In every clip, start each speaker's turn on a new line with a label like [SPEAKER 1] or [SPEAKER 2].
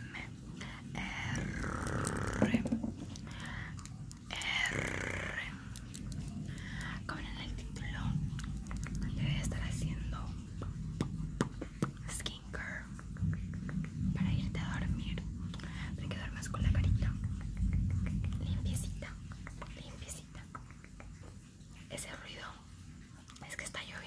[SPEAKER 1] M R R como en el título le voy a estar haciendo skincare para irte a dormir para que duermas con la carita limpiecita limpiecita ese ruido es que está lloviendo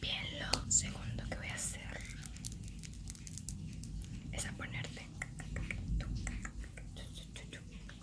[SPEAKER 1] Bien, lo segundo que voy a hacer es a ponerte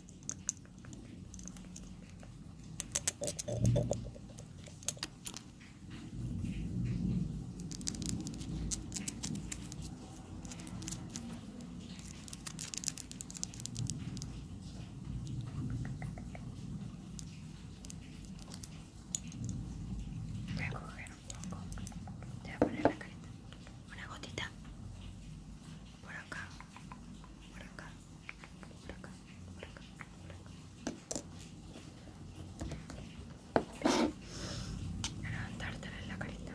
[SPEAKER 1] Voy a coger un poco. Te voy a poner la carita una gotita por acá, por acá, por acá, por acá, por acá. en la carita.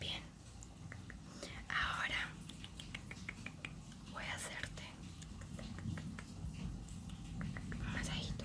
[SPEAKER 1] Bien, ahora voy a hacerte un masajito.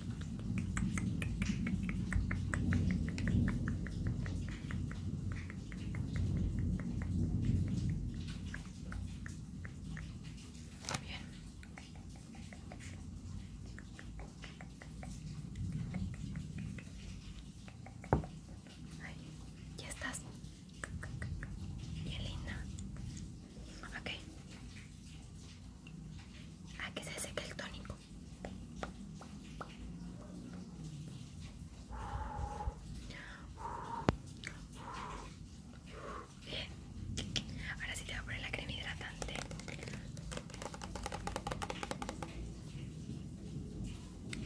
[SPEAKER 1] Muy bien. Ahí, ya estás. Bien linda. Ok. A ah, que se seque el tónico. Bien. Ahora sí te voy a poner la crema hidratante.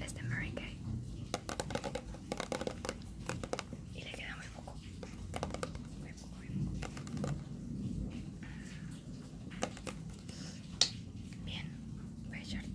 [SPEAKER 1] Este es de Y le queda muy poco. Bien, voy a echarte.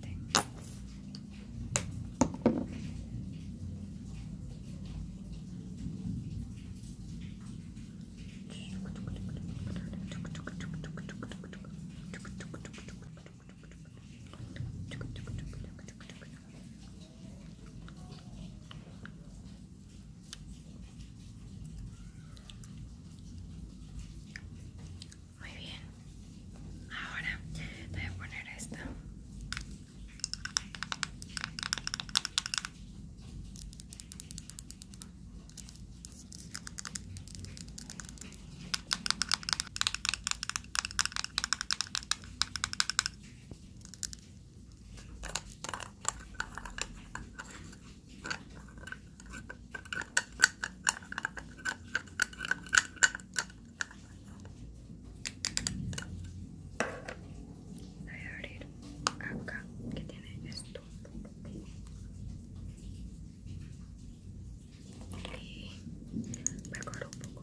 [SPEAKER 1] Muy bien. Ahora voy a poner esto. Voy a abrir acá que tiene esto y me un poco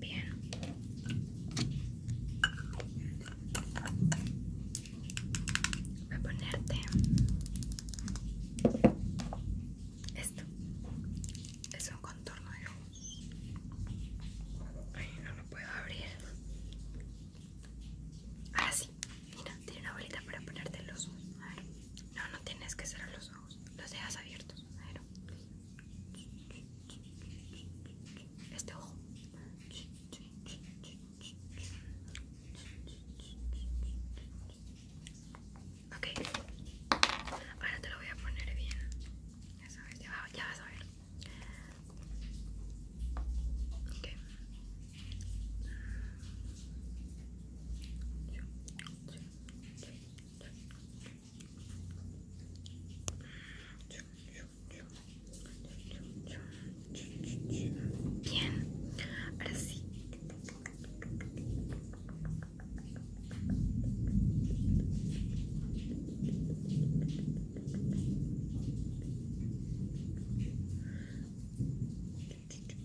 [SPEAKER 1] Bien. Voy a ponerte esto. Es un contorno de Ay, no lo puedo abrir. Ahora sí. Mira, tiene una bolita para ponerte los ojos. A ver. No, no tienes que cerrar los ojos. Los dejas abiertos. A ver. Este ojo. Ok, ahora te lo voy a poner bien. Ya sabes, ya, vas a ver. Ok. Bien, ahora sí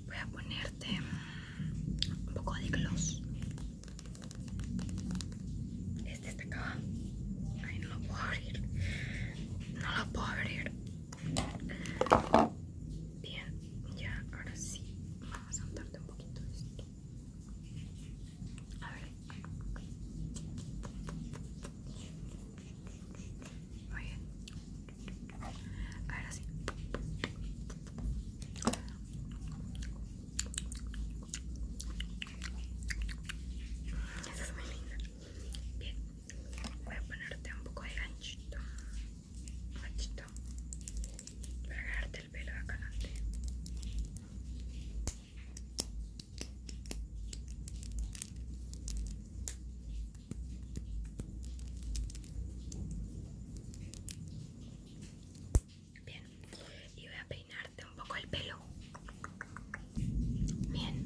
[SPEAKER 1] Voy a ponerte un poco de gloss. Este está acá. Ay, no lo puedo abrir. No lo puedo abrir. Bien, ya, ahora sí. Vamos a untarte un poquito de esto. A ver. Muy bien. Ahora sí. Esa es muy linda. Bien. Voy a ponerte un poco de ganchito voy a ganarte el pelo acá adelante Bien, y voy a peinarte un poco el pelo. Bien.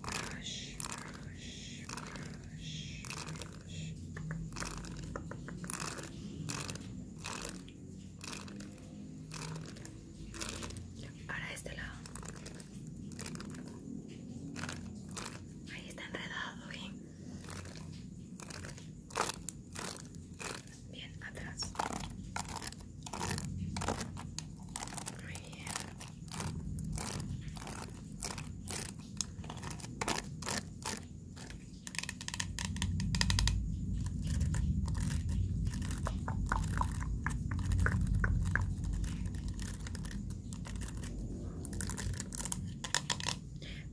[SPEAKER 1] Para Ahora este lado. Ahí está enredado, Bien, atrás.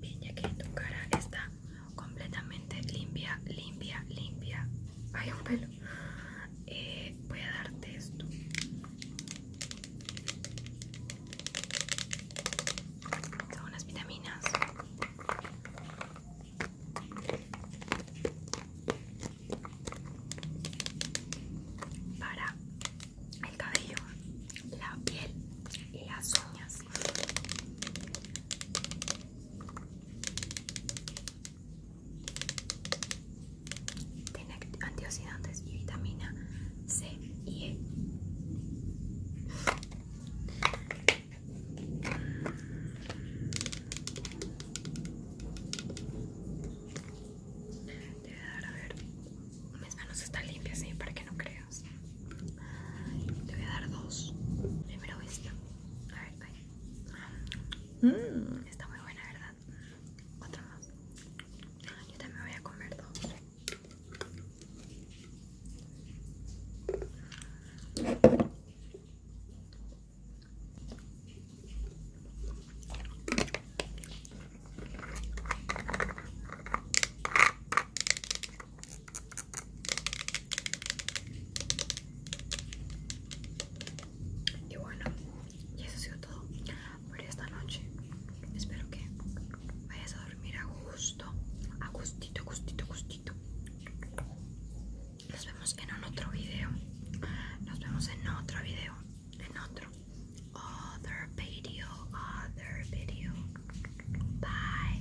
[SPEAKER 1] Bien, ya que tu cara está completamente limpia, limpia, limpia. Hay un pelo. Eh, voy a darte esto son unas vitaminas para el cabello, la piel y las uñas tiene antioxidantes y vitamina C y E. Te voy a dar a ver. Mis manos ah, están limpias, ¿sí? para que no creas. Te voy a dar dos. Primero esta. A ver, Mm, está muy buena, ¿verdad? Otra más. Yo también voy a comer dos. Y bueno, y eso ha sido todo por esta noche. Espero que vayas a dormir a gusto, a gustito, gustito, gustito. Nos vemos en un otro video. Nos vemos en otro video. En otro. Other video. Other video. Bye.